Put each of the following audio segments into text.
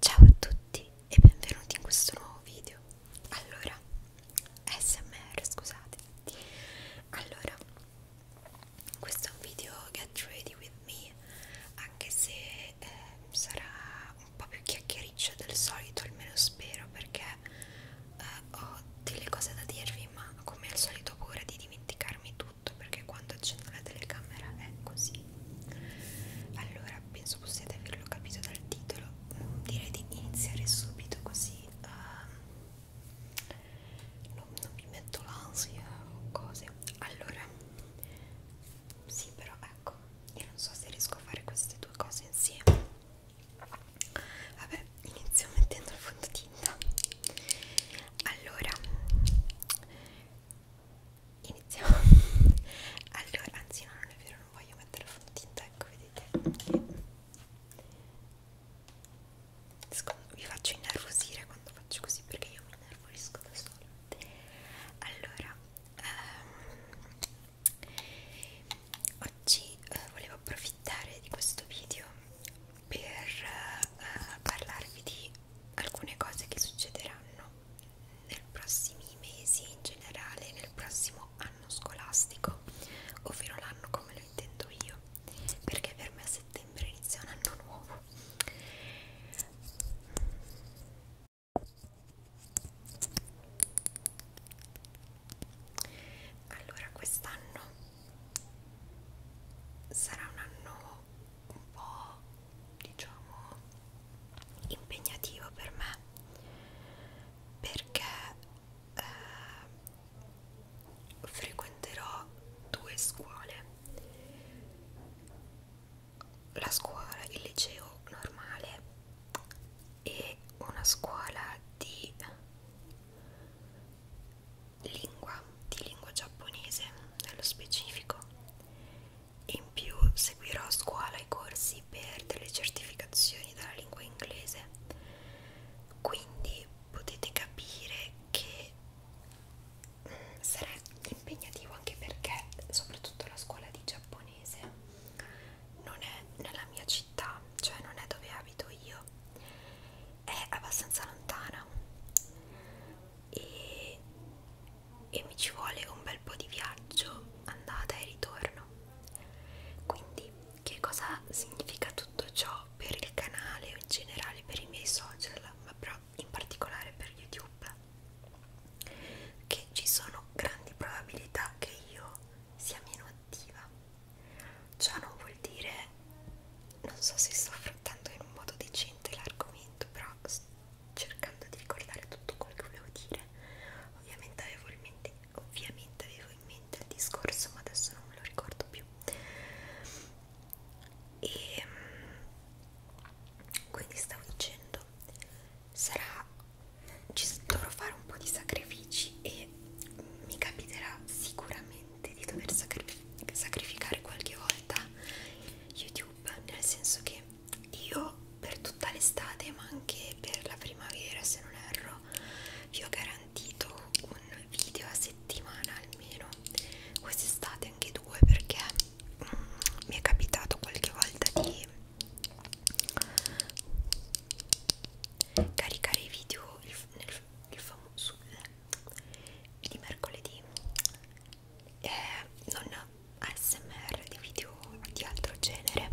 Ciao a tutti e benvenuti in questo nuovo video. Allora, SMR, scusate. Allora, questo è un video Get Ready With Me, anche se eh, sarà un po' più chiacchiericcio del solito, almeno spero, perché eh, ho delle cose da dirvi, ma come al solito ho paura di dimenticarmi tutto, perché quando accendo la telecamera è così. Allora, penso possiate averlo capito dal titolo mm, direi di iniziare subito così uh, non, non mi metto l'ansia o cose allora sì però ecco io non so se riesco a fare queste due cose insieme vabbè inizio mettendo il fondotinta allora iniziamo allora anzi no non è vero non voglio mettere la fondotinta ecco vedete vi faccio innervosire quando faccio così perché io mi innervosisco da sola allora ehm, oggi eh, volevo approfittare di questo video per eh, parlarvi di alcune cose che succederanno nei prossimi mesi e in generale nel prossimo anno scolastico, ovvero l'anno come lo intendo io, perché per me a settembre inizia un anno nuovo. Allora, quest'anno sarà un anno un po' diciamo impegnativo per me perché eh, frequenterò due scuole la scuola il liceo normale e una scuola di lingua di lingua giapponese nello specifico in più seguirò a scuola i corsi per delle certificazioni dalla lingua inglese, quindi potete capire che mm, sarà impegnativo anche perché soprattutto la scuola di giapponese non è nella mia città, cioè non è dove abito io, è abbastanza lontana e, e mi ci vuole un bel po' di viaggio andata e ritorno quindi che cosa significa tutto ciò per il canale o in generale per i miei social ma però in particolare per youtube che ci sono grandi probabilità che io sia meno attiva ciò non vuol dire non so se sto affrontando in un modo decente l'argomento però cercando di ricordare tutto quello che volevo dire ovviamente avevo in mente, ovviamente avevo in mente il discorso ma adesso non me lo ricordo più e ehm, quindi stavo dicendo sarà ci dovrò fare un po' di sacrifici e mi capiterà sicuramente di dover sacrificare qualche volta YouTube nel senso che io per tutta l'estate ma anche per la primavera se non erro vi ho garantito un video a settimana almeno quest'estate anche due perché mm, mi è capitato qualche volta di caricare i video il, nel, il famoso di mercoledì eh, non ASMR di video di altro genere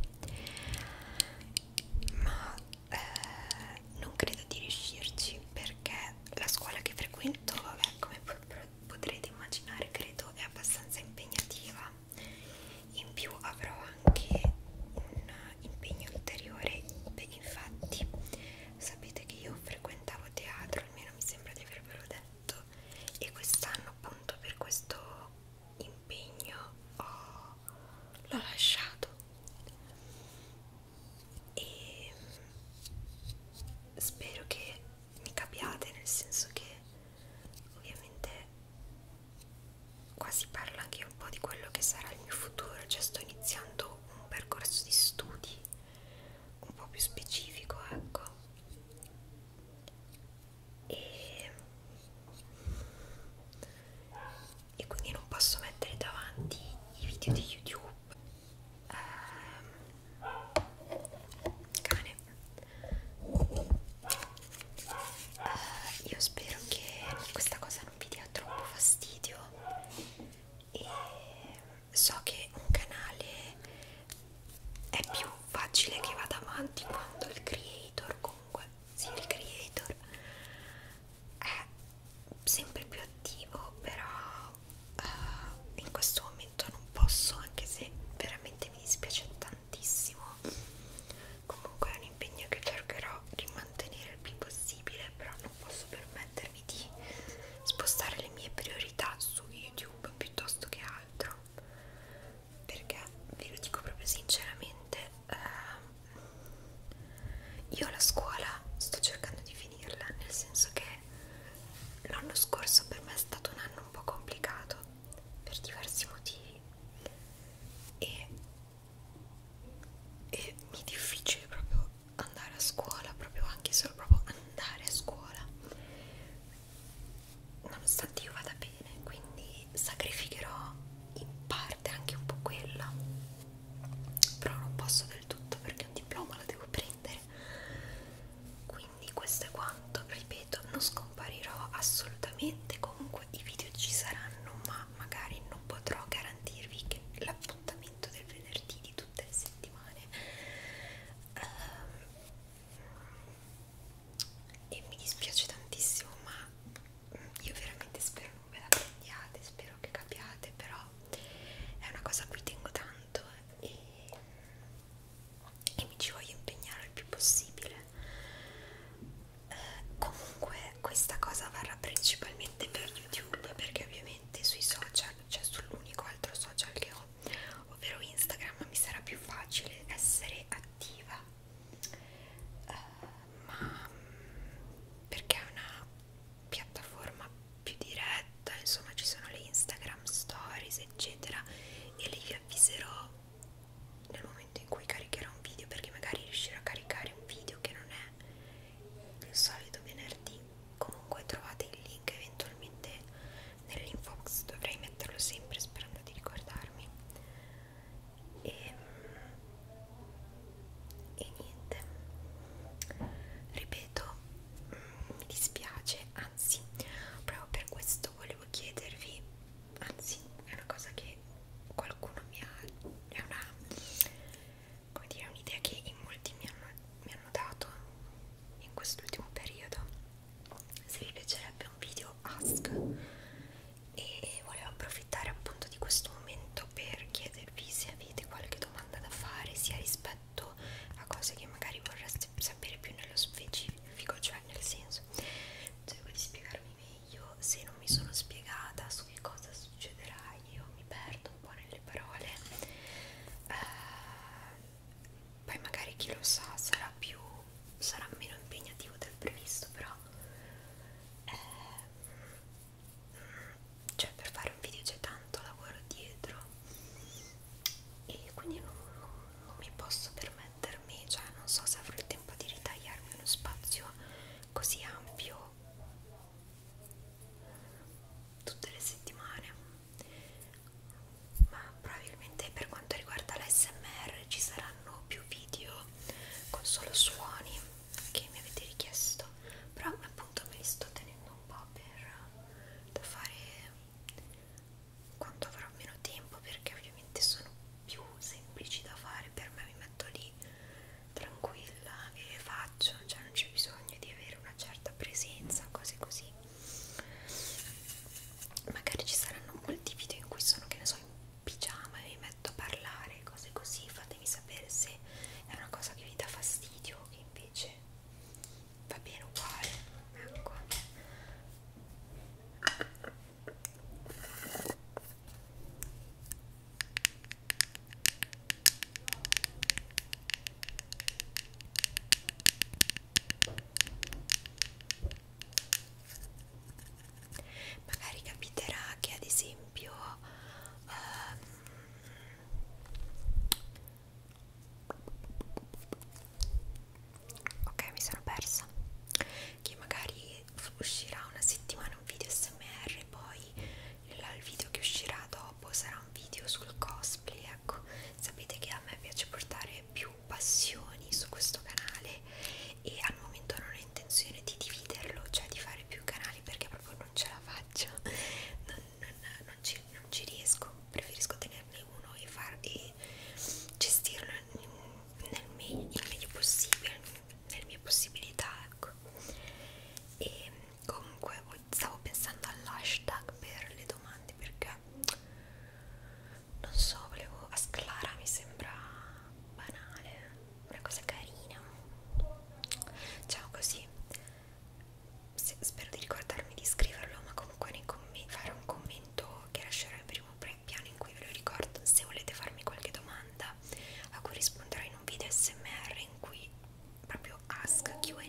ma eh, non credo di riuscirci perché la scuola che frequento vabbè come potrete immaginare credo è abbastanza impegnativa in più avrò anche un impegno ulteriore Beh, infatti sapete che io frequentavo teatro almeno mi sembra di avervelo detto letto e quest'anno appunto per questo impegno oh, l'ho lasciato e mm, spero che mi capiate nel senso che ovviamente qua si parla anche un po' di quello che sarà il mio futuro cioè sto iniziando un percorso di studi un po' più specifico ecco e, e quindi non posso mettere davanti i video di youtube ehm, cane eh, io spero che questa cosa non vi dia troppo fastidio e so che un canale è più facile che vada avanti quando il creator comunque sì il creator è sempre più attivo però uh, in questo momento non posso anche se veramente mi dispiace tantissimo comunque è un impegno che cercherò di mantenere il più possibile però non posso permettermi di spostare le mie priorità su youtube piuttosto che altro perché ve lo dico proprio sinceramente eh, io la scuola sto cercando di finirla nel senso che l'anno scorso per me è stato un anno un po' complicato per diversi motivi e, e mi è difficile proprio andare a scuola proprio anche solo proprio andare a scuola nonostante io vada bene quindi sacrificherò in parte anche un po' quella però non posso del tutto perché un diploma lo devo prendere quindi questo è quanto ripeto non scomparirò assolutamente comunque i video ci saranno ma magari non potrò garantirvi che l'appuntamento del venerdì di tutte le settimane um, e mi dispiace tantissimo ma io veramente spero non ve la prendiate spero che capiate però è una cosa a cui tengo tanto e, e mi ci voglio impegnare il più possibile eh, comunque questa cosa varrà principalmente per youtube perché ovviamente sui social cioè sull'unico altro social che ho ovvero Instagram mi sarà più facile essere attiva uh, ma perché è una piattaforma più diretta insomma ci sono le Instagram stories eccetera e lì vi avviserò nel momento in cui caricherò un video perché magari riuscirò a caricare un video che non è il solito venerdì comunque trovate il link eventualmente nell'infox dovrei metterlo sempre sperando di ricordarmi e, e niente ripeto mi dispiace anzi proprio per questo volevo chiedervi anzi è una cosa che qualcuno mi ha è una come dire un'idea che in molti mi hanno mi hanno dato in quest'ultimo periodo se vi piacerebbe un video ask e volevo approfittare appunto di questo momento per chiedervi se avete qualche domanda da fare sia rispetto a cose che magari vorreste sapere più nello specifico cioè nel senso cerco di spiegarmi meglio se non mi sono spiegata su che cosa succederà io mi perdo un po' nelle parole eh, poi magari chi lo sa sarà più sarà meno impegnativo del previsto però eh, cioè per fare un video c'è tanto lavoro dietro e quindi non, non, non mi posso permettermi cioè non so se avrò il tempo di ritagliarmi uno spazio così ampio tutte le settimane ma probabilmente per quanto riguarda l'ASMR ci saranno più video con solo suoni che mi avete richiesto però appunto me li sto tenendo un po' per da fare quando avrò meno tempo perché ovviamente sono più semplici da fare per me mi metto lì tranquilla e le faccio cioè non c'è bisogno di avere una certa presenza cose così magari ci saranno molti video in cui sono che ne so in pigiama e mi metto a parlare cose così fatemi sapere se è una cosa che vi dà fastidio o che invece va bene uguale ecco magari capiterà che ad esempio um, ok mi sono persa che magari uscirà una settimana un video smr poi il video che uscirà dopo dopo sarà un video sul cosplay ecco sapete che a me piace portare più passioni su questo canale e al momento non ho intenzione di dividerlo cioè di fare più canali perché proprio non ce la faccio non, non, non, ci, non ci riesco preferisco tenerne uno e, far, e gestirlo nel, me nel meglio possibile nelle mie possibilità ecco e comunque stavo pensando all'hashtag per le domande perché non so, volevo a Sclara mi sembra banale, una cosa carina. Diciamo così. Se, spero di ricordarmi di scriverlo, ma comunque nei commenti fare un commento che lascerò in primo piano in cui ve lo ricordo. Se volete farmi qualche domanda a cui risponderò in un video SMR in cui proprio ask QA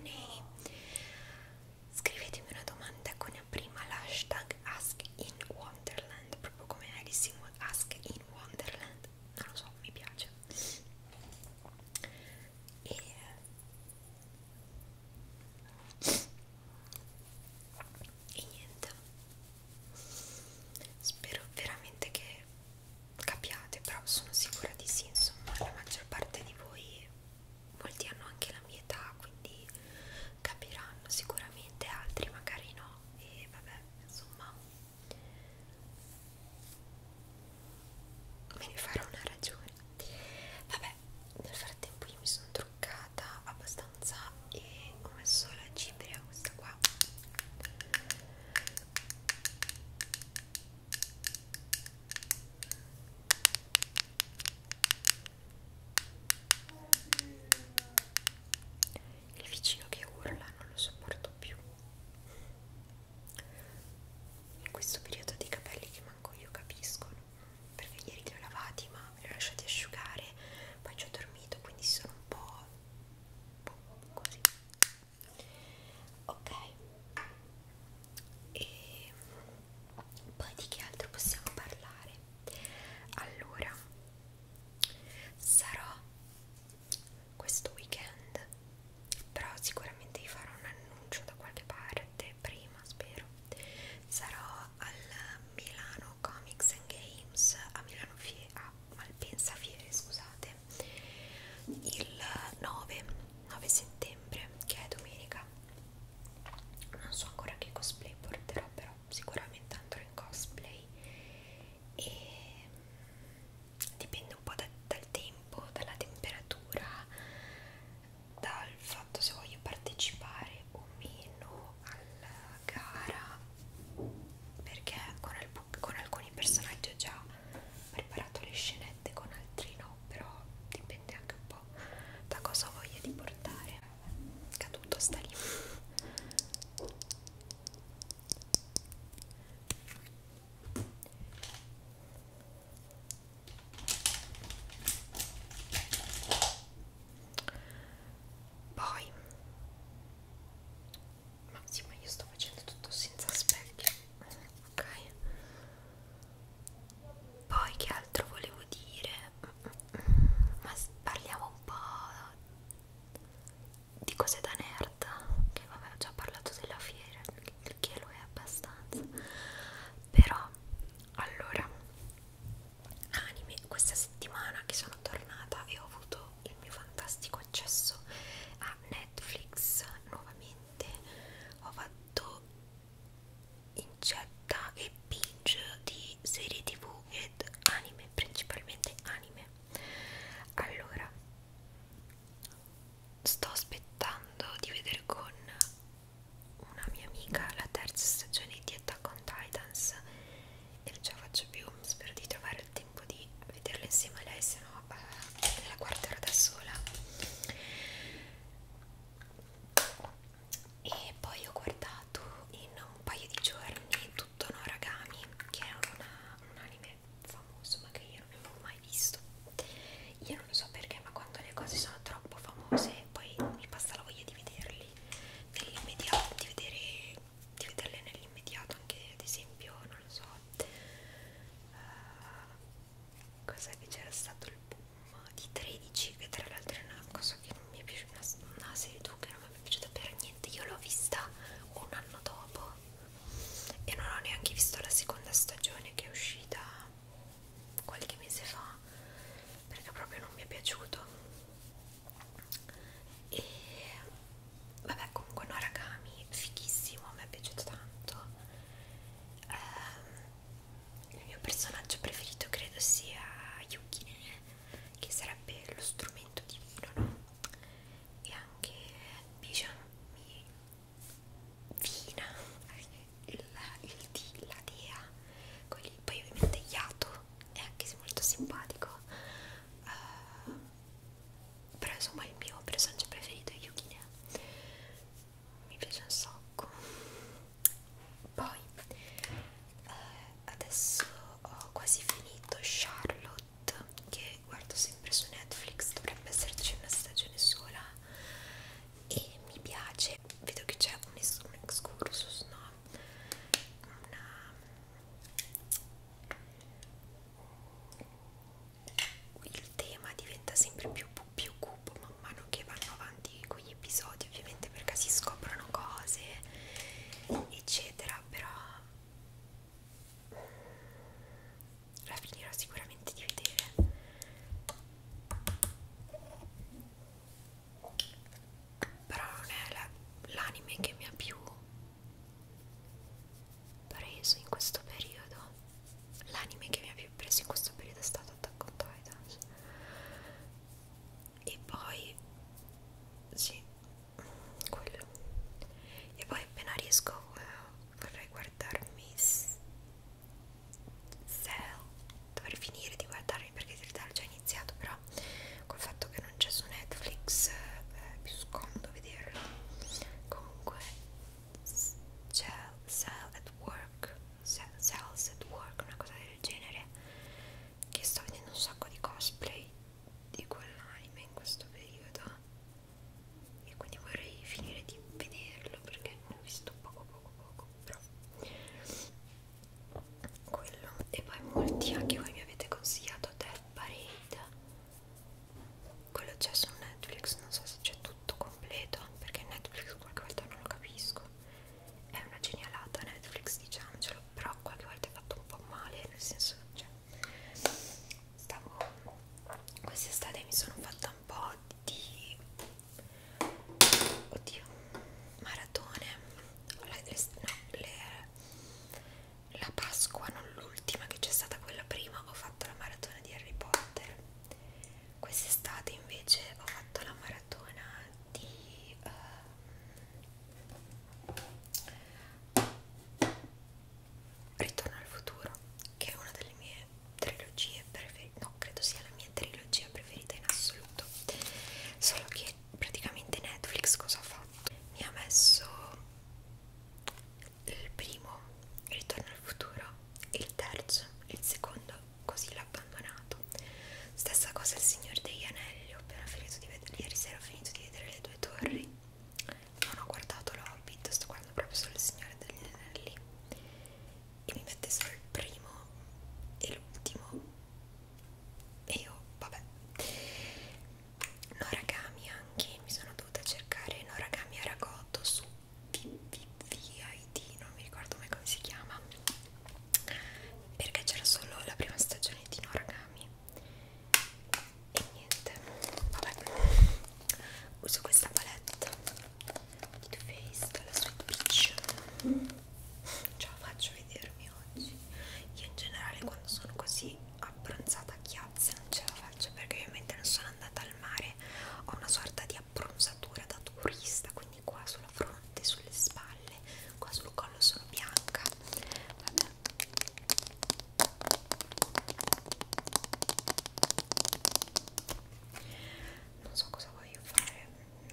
scrivetemi una domanda con prima l'hashtag Ask in Wonderland, proprio come Alice in Ask in Wonderland, non lo so, mi piace. E e niente spero veramente che capiate però sono sicura di sì insomma la maggior parte di voi molti hanno anche la mia età quindi capiranno sicuramente altri magari no e vabbè insomma me ne farò una ragione vabbè nel frattempo io mi sono truccata abbastanza e ho messo la cipria questa qua il vicino che urla non lo sopporto più. In questo periodo dei capelli che manco io capisco, perché ieri li ho lavati ma me li ho lasciati asciugare, poi ci ho dormito, quindi sono un po', un po così. Ok, e poi di che altro possiamo parlare? Allora, sarò questo weekend, però sicuramente vi farò un annuncio da qualche parte prima, spero. Sarò al Milano Comics and Games a Milano Fie a Malpensa Fiere, scusate, il 9, 9 settembre, che è domenica non so ancora che cosplay porterò però sicuramente andrò in cosplay e mm, dipende un po' da, dal tempo, dalla temperatura dal fatto se voglio partecipare o meno alla gara perché con, alc con alcuni personaggi ho già preparato le scenette con altri no però dipende anche un po' da cosa ho voglia di portare caduto sta lì poi ma sì ma io sto facendo tutto senza specchio ok poi che altro volevo dire ma parliamo un po' di cose da nerd che vabbè ho già parlato della fiera che lo è abbastanza però allora anime questa settimana che sono tornata e ho avuto il mio fantastico accesso a Netflix nuovamente ho fatto incetta e binge di serie tv ed anime, principalmente anime. Allora, sto aspettando di vedere con una mia amica la terza stagione di Attack on Titans e non ce la faccio più, spero di trovare il tempo di vederla insieme a lei, se no eh, la guarderò da sola e poi ho guardato in un paio di giorni tutto Noragami che è una, un anime famoso ma che io non avevo mai visto io non lo so perché ma quando le cose sono troppo famose poi mi passa la voglia di vederli nell'immediato di, vedere, di vederle nell'immediato anche ad esempio non lo so uh, cos'è che c'era stato il boom di 13 che tra l'altro è una cosa che non mi è piaciuta una, una serie tu che non mi è piaciuta per niente io l'ho vista un anno dopo e non ho neanche visto la seconda stagione che è uscita qualche mese fa perché proprio non mi è piaciuto e vabbè comunque no ragami fighissimo a me è piaciuto tanto ehm, il mio personaggio preferito credo sia Yukine, che sarebbe lo strumento divino, no? E anche Bijan mi Vina, il, il di, la dea, quelli, poi ovviamente Yato è anche se molto simpatico. Uh, però insomma il mio personaggio preferito è Yukine mi piace un sacco poi eh, adesso ho quasi finito Charlotte che guardo sempre su Netflix dovrebbe esserci una stagione sola e mi piace vedo che c'è un, un excursus no? una il tema diventa sempre più, più cupo man mano che vanno avanti con gli episodi ovviamente perché si scoprono cose eccetera però la finirò sicuramente di vedere però non è l'anime la, che mi ha più preso in questo periodo l'anime che mi ha più preso in questo periodo è stato Attack on Titans e poi sì quello e poi appena riesco eh, vorrei guardarmi Cell dovrei finire di guardarmi perché in realtà l'ho già iniziato però col fatto che non c'è su Netflix eh, è più scomodo vederlo comunque Cell at Work Cells at Work, una cosa del genere che sto vedendo un sacco di cosplay di quell'anime in questo periodo e quindi vorrei finire di vederlo perché ne ho visto poco poco poco però quello e poi molti anche voi mi avete consigliato Death Parade quello c'è su Netflix, non so se c'è tutto completo, perché Netflix qualche volta non lo capisco. È una genialata Netflix, diciamocelo, però qualche volta è fatto un po' male, nel senso, cioè, stavo quest'estate mi sono fatta un po' di oddio maratone la, no, le, la Pasqua non l'ultima che c'è stata quella prima ho fatto la maratona di Harry Potter Quest'estate invece ho fatto la maratona di uh, Ritorno al futuro, che è una delle mie trilogie preferite, no, credo sia la mia trilogia preferita in assoluto. Solo che praticamente Netflix cosa ha fatto? Mi ha messo il primo Ritorno al futuro, il terzo, il secondo Così l'abbandonato. Stessa cosa il Signore degli Anelli, ho appena finito di vedere, ieri sera ho finito di vedere le due torri. Non ho guardato l'Hobbit, sto guardando proprio solo il Signore degli Anelli. E mi mette solo il primo e l'ultimo. E io, vabbè. Noragami anche, mi sono dovuta cercare Noragami Aragoto su VID, non mi ricordo mai come si chiama perché c'era solo la prima stagione di Noragami e niente, vabbè uso questa palette di Too Faced della Sweet Peach ce la faccio vedermi oggi io in generale quando sono così abbronzata a chiazze non ce la faccio perché ovviamente non sono andata al mare ho una sorta di abbronzatura da turista quindi qua sulla fronte, sulle spalle qua sul collo sono bianca Vabbè. non so cosa voglio fare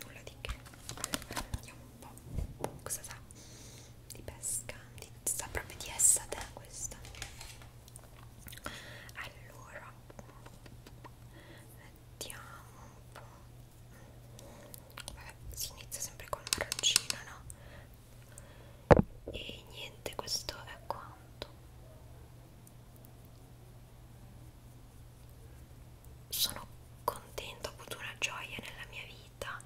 nulla di che allora, vediamo un po' cosa sa di pesca di, sa proprio di essa te questa allora mettiamo un po' vabbè si inizia sempre con l'arancina no? e niente questo è quanto sono contenta ho avuto una gioia nella mia vita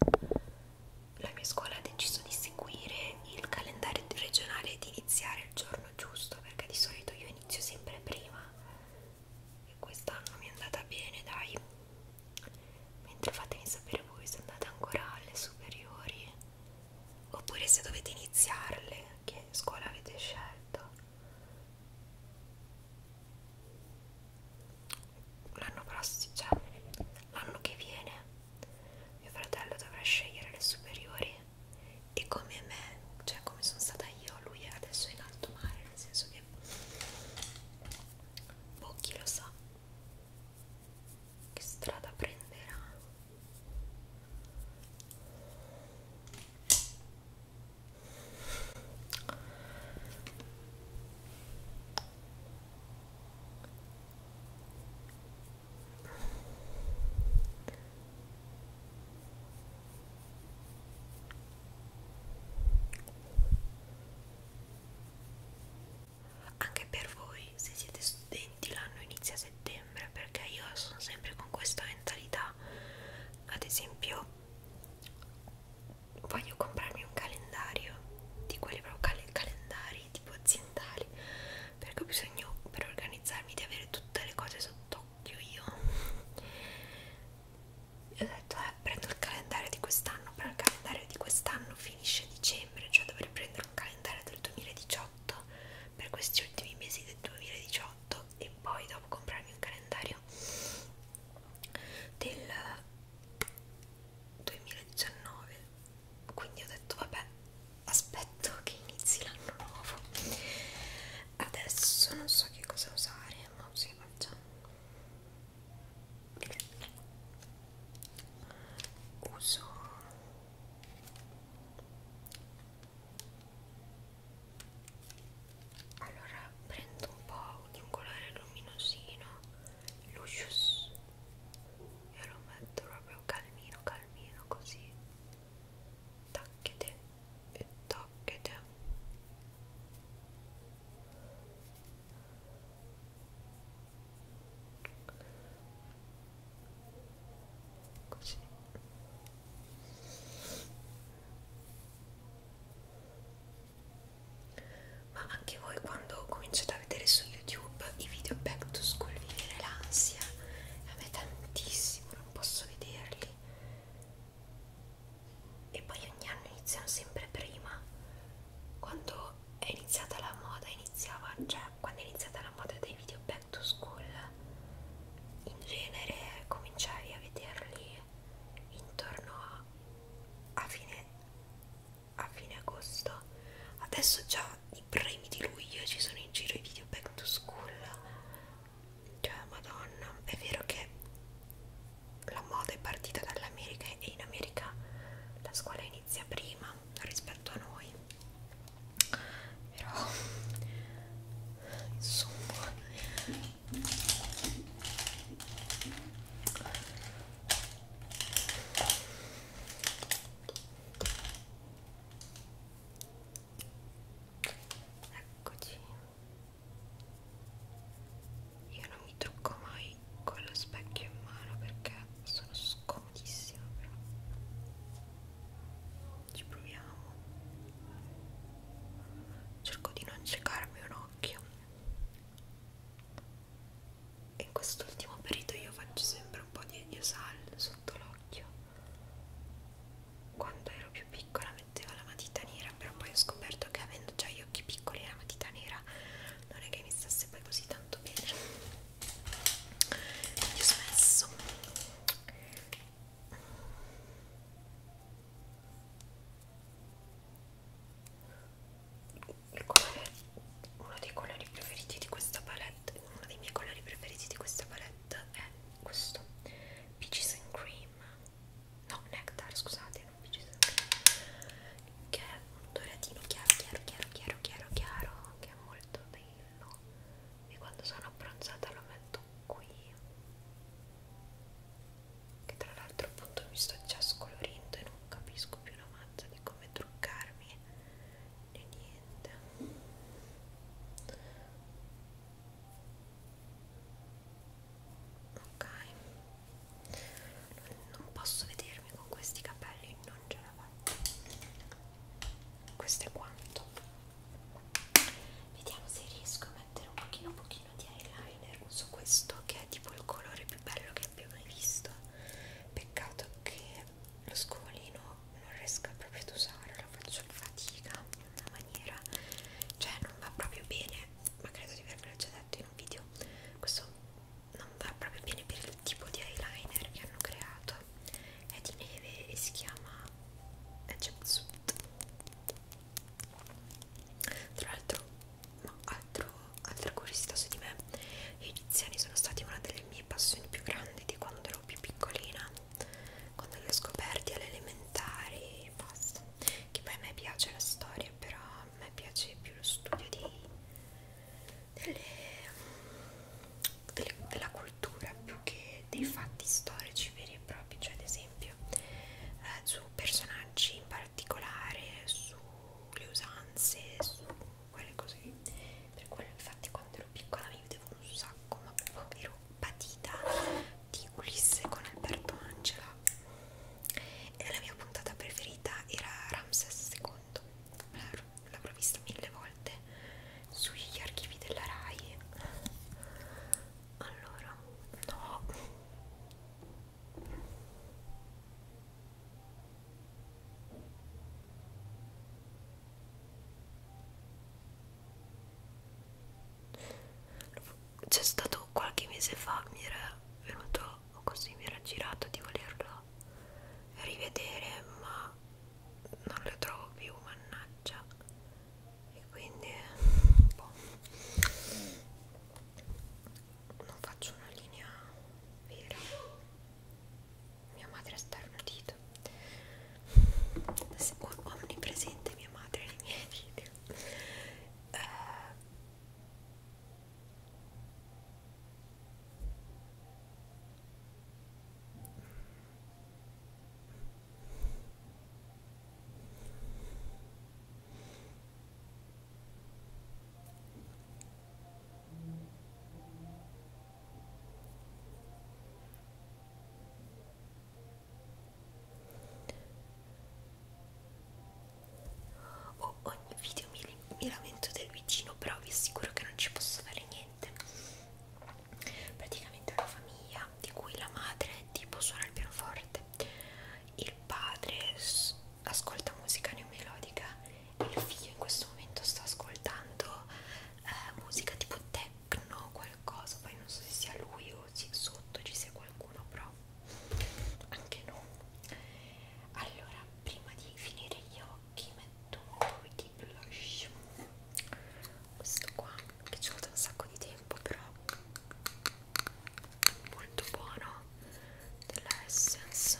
la mia scuola ha deciso di seguire il calendario regionale e di iniziare il giorno giorno giusto perché di solito io inizio sempre prima e quest'anno mi è andata bene dai mentre fatemi sapere voi se andate ancora alle superiori oppure se dovete iniziarle che scuola avete scelto l'anno prossimo cioè l'anno che viene mio fratello dovrà scegliere le superiori e come me, cioè come sono stata io, lui adesso è in alto mare, nel senso che boh, chi lo sa che strada prenderà anche per voi, se siete studenti, l'anno inizia a settembre perché io sono sempre con questa mentalità. Ad esempio, voglio comprarmi un calendario di quelli proprio cal calendari tipo zin mentali perché ho bisogno per organizzarmi di avere tutte le cose sott'occhio io e ho detto eh, prendo il calendario di quest'anno però il calendario di quest'anno finisce a dicembre cioè dovrei prendere un calendario del 2018 per questi ultimi mesi del 2018 e poi dopo comprarmi un calendario del 2019 quindi ho detto vabbè aspetto che inizi l'anno nuovo adesso non so che cosa usare ma sì, facciamo uso allora prendo un po' di un colore luminosino Lucius e lo metto proprio calmino calmino così tacchete e tacchete così ma anche voi quando cominciate a vedere su YouTube i video back to school vi viene l'ansia a me tantissimo, non posso vederli e poi ogni anno iniziano sempre prima quando è iniziata la moda iniziava, cioè quando è iniziata la moda dei video back to school in genere cominciai a vederli intorno a, a fine a fine agosto adesso già i primi di luglio ci sono in giro i video back to school cioè madonna è vero che la moda è partita dall'America e in America la scuola inizia prima rispetto a noi però insomma Eccoci. Io non mi trucco mai con lo specchio in mano perché sono scomodissima, però ci proviamo. Cerco di non ciecarmi un occhio. E in quest'ultimo periodo io faccio sempre un po' di salto sotto l'occhio quando ero più piccola mettevo la matita nera però poi ho scoperto che avendo già gli occhi piccoli la matita nera non è che mi stasse poi così tanto bene quindi ho smesso il colore uno dei colori preferiti di questa palette palette uno dei miei colori preferiti di questa palette è questo peaches and cream no nectar scusate non peaches and cream che è un doratino chiaro chiaro chiaro chiaro chiaro chiaro che è molto bello e quando sono abbronzata lo metto qui che tra l'altro appunto mi sto già scolorendo e non capisco più la mazza di come truccarmi e niente ok non posso vedermi con questi capelli non ce la faccio questo è quanto vediamo se riesco a mettere un pochino un pochino di eyeliner uso questo che è tipo il colore più bello che abbia mai visto peccato che lo scovolino non riesco proprio ad usare, lo faccio in fatica in una maniera, cioè non va proprio bene, ma credo di avervelo già detto in un video, questo non va proprio bene per il tipo di eyeliner che hanno creato, è di neve e si chiama Egyptsuit. Tra l'altro, ma altro, altra curiosità su di me, gli egiziani sono stati una delle mie passioni più grandi di quando ero più piccolina quando li ho scoperti alle elementari e basta che poi a me piace la storia però a me piace più lo studio di, delle, delle, della cultura più che dei fatti storici veri e propri cioè ad esempio eh, su personaggi in particolare sulle usanze su quelle cose lì. Per quello, infatti, quando ero piccola mi vedevo un sacco, ma proprio ero patita di Ulisse con Alberto Angela. E la mia puntata preferita era Ramses II. L'avrò vista mille volte sugli archivi della Rai. Allora, no. C'è stato qualche mese fa, mi era venuto così, mi era girato di volerlo rivedere, ma non lo trovo più, mannaggia. E quindi boh. non faccio una linea vera mia madre a starnutito omnipresente mia madre nei miei video uh, Oh, ogni video mi, mi lamento del vicino, però vi assicuro che non ci posso fare niente. Praticamente è una famiglia di cui la madre tipo suona il pianoforte, il padre ascolta musica neomelodica il figlio in questo momento sta ascoltando eh, musica tipo techno qualcosa poi non so se sia lui o se sotto ci sia qualcuno però anche no allora prima di finire gli occhi metto un po' di blush questo qua che ci vuole un sacco di tempo però molto buono della Essence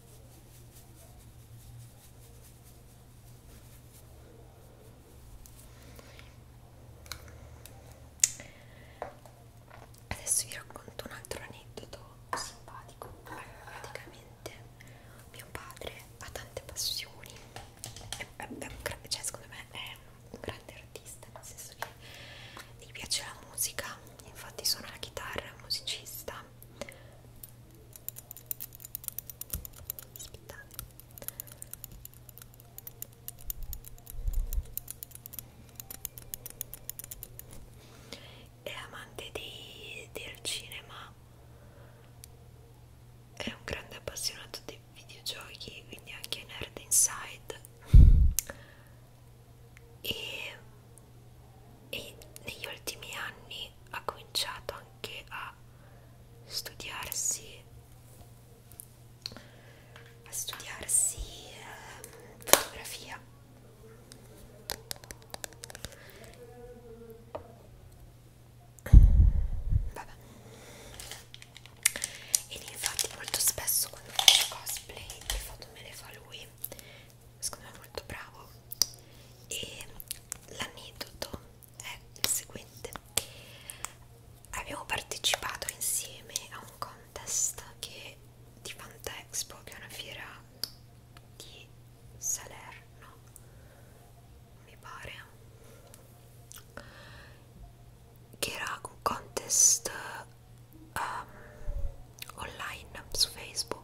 Adesso vi racconto un altro aneddoto simpatico. Allora, praticamente mio padre ha tante passioni, è, è, è un, cioè secondo me è un grande artista, nel senso che gli piace la musica, infatti suona la chitarra, è musicista aspettate è amante di, del cinema è un grande appassionato di videogiochi quindi anche nerd inside e e negli ultimi anni ha cominciato anche a studiarsi a studiarsi eh, fotografia Vabbè. ed infatti molto spesso quando faccio cosplay le foto me le fa lui secondo me molto bravo e l'aneddoto è il seguente abbiamo partecipato insieme a un contest che di Fantexpo che è una fiera di Salerno mi pare che era un contest um, online su Facebook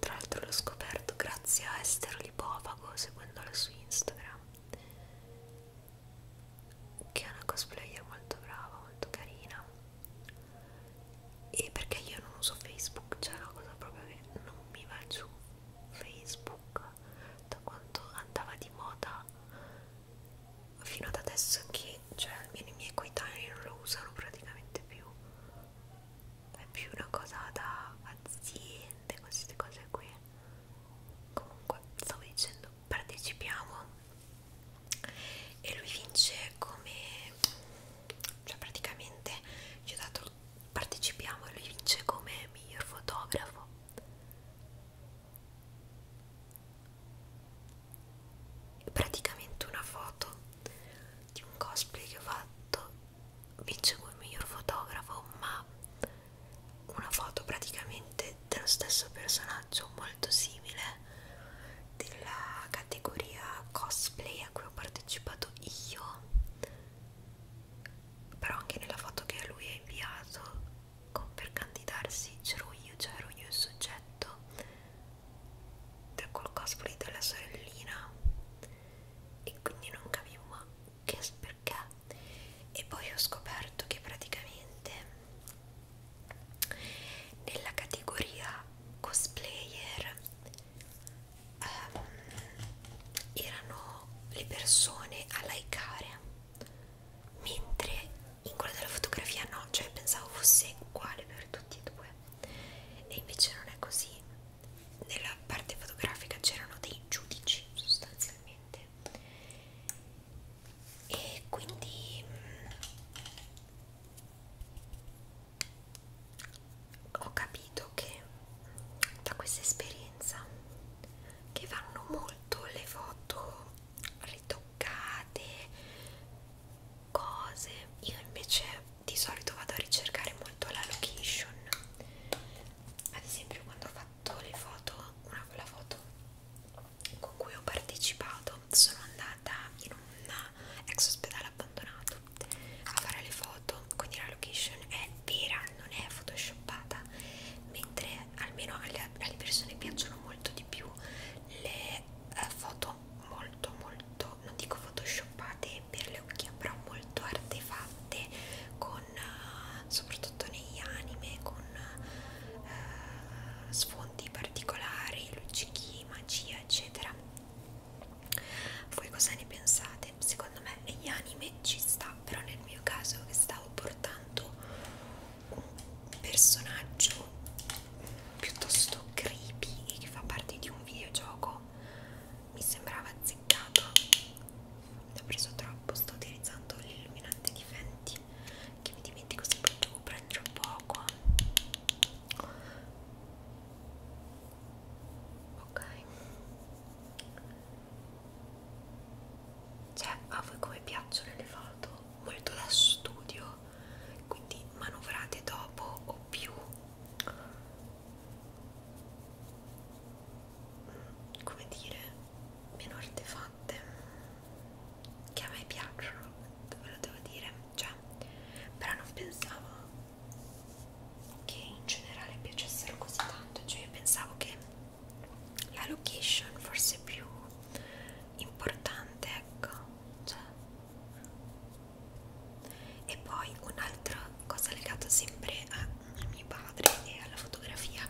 tra l'altro l'ho scoperto grazie a Estero Lipofago, seguendolo su Instagram, che è una cosplayer molto brava, molto carina. E perché io non uso Facebook, cioè è una cosa proprio che non mi va giù Facebook da quanto andava di moda fino ad adesso che cioè almeno i miei coetanei non lo usano praticamente più è più una cosa da aziende, queste cose qui. Comunque, stavo dicendo, partecipiamo e lui vince come, cioè praticamente ci ha dato, partecipiamo e lui vince come miglior fotografo. Praticamente una foto di un cosplay che ho fatto vince come miglior fotografo ma una foto praticamente dello stesso personaggio molto simile della categoria cosplay a cui ho partecipato io però anche nella foto che lui ha inviato con, per candidarsi c'ero io, c'ero io il soggetto cioè col cosplay della sorellina e quindi non capivo che perché e poi ho scoperto che praticamente nella categoria cosplayer um, erano le persone a likeare mentre in quella della fotografia no, cioè pensavo fosse uguale per tutti e due e invece non è così nella parte fotografica c'erano dei giudici sostanzialmente e quindi mh, mm, ho capito che da questa esperienza che vanno molto le foto ritoccate cose io invece di solito vado a ricercare molto la location ad esempio quando ho fatto le foto una quella foto con cui ho partecipato sono andata in un ex ospedale abbandonato a fare le foto quindi la location è vera non è photoshoppata mentre almeno alle, alle persone piacciono molto di più le eh, foto molto molto molto, non dico photoshoppate per le occhie, però molto artefatte, con, eh, soprattutto negli anime, con eh, sfondi particolari, luccichi, magia, eccetera. Voi cosa ne pensate? Secondo me negli anime ci sta, però nel mio caso che stavo portando un personaggio piuttosto creepy e che fa parte di un videogioco troppo mi sembrava azzeccato ne ho preso troppo sto utilizzando l'illuminante di Fenty che mi dimentico sempre devo prendere un poco ok cioè a voi come piacciono le foto molto da studio quindi manovrate dopo o più come dire meno artefatte che a me piacciono ve lo devo dire cioè però non pensavo che in generale piacessero così tanto cioè io pensavo che la location forse più importante ecco cioè e poi un'altra cosa legata sempre a mio padre e alla fotografia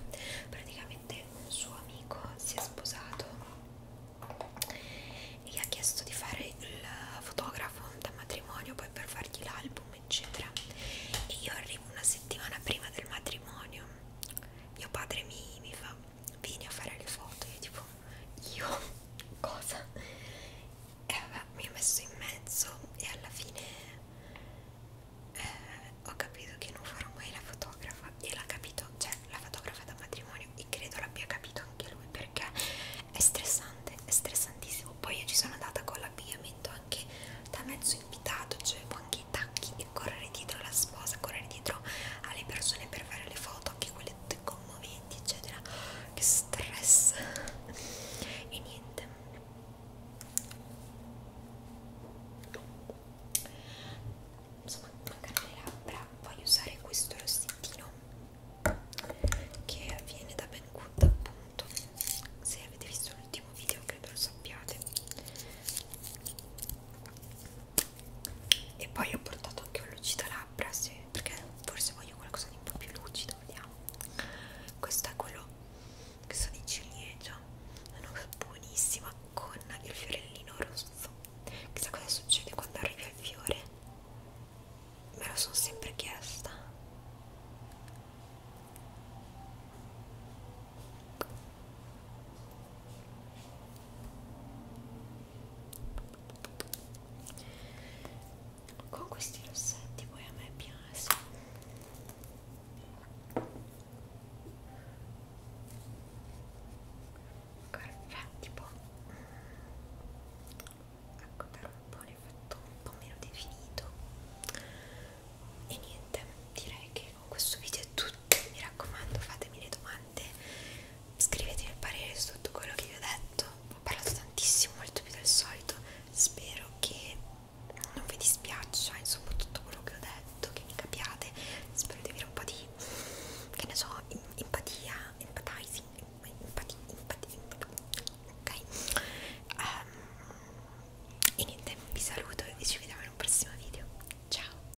praticamente un suo amico si è sposato e gli ha chiesto di fare il fotografo da matrimonio poi per fargli l'album eccetera e io arrivo una settimana prima del matrimonio mio padre mi, mi fa vieni a fare le foto io tipo io cosa che mi ha messo in mezzo e alla fine eh, ho capito che non farò mai la fotografa e l'ha capito, cioè la fotografa da matrimonio e credo l'abbia capito anche lui perché è stressante, è stressantissimo. Poi io ci sono andata con l'abbigliamento anche da mezzo invitato, cioè anche i tacchi e correre dietro alla sposa, correre dietro alle persone per fare le foto, anche quelle tutte commoventi eccetera che stress e niente insomma mancano le labbra voglio usare questo rossettino che viene da Ben Good appunto se avete visto l'ultimo video credo lo sappiate e poi ho portato anche un lucida labbra se perché forse voglio qualcosa di un po' più lucido, vediamo. Questo è quello che sono di ciliegia, è una cosa buonissima con il fiorellino rosso. Chissà cosa succede quando arrivi al fiore, me lo sono sempre chiesta con questi rossetti poi a me piace Guarda, tipo ecco per un po' ne fatto un po' meno definito e niente direi che con questo video è tutto mi raccomando fatemi le domande scrivetemi il parere su tutto quello che vi ho detto ho parlato tantissimo, molto più del solito. Spero che non vi dispiaccia, insomma, tutto quello che ho detto, che mi capiate. Spero di avere un po' di, che ne so, empatia, empathizing, empatia, empatia, ok? Um, e niente, vi saluto e ci vediamo in un prossimo video. Ciao!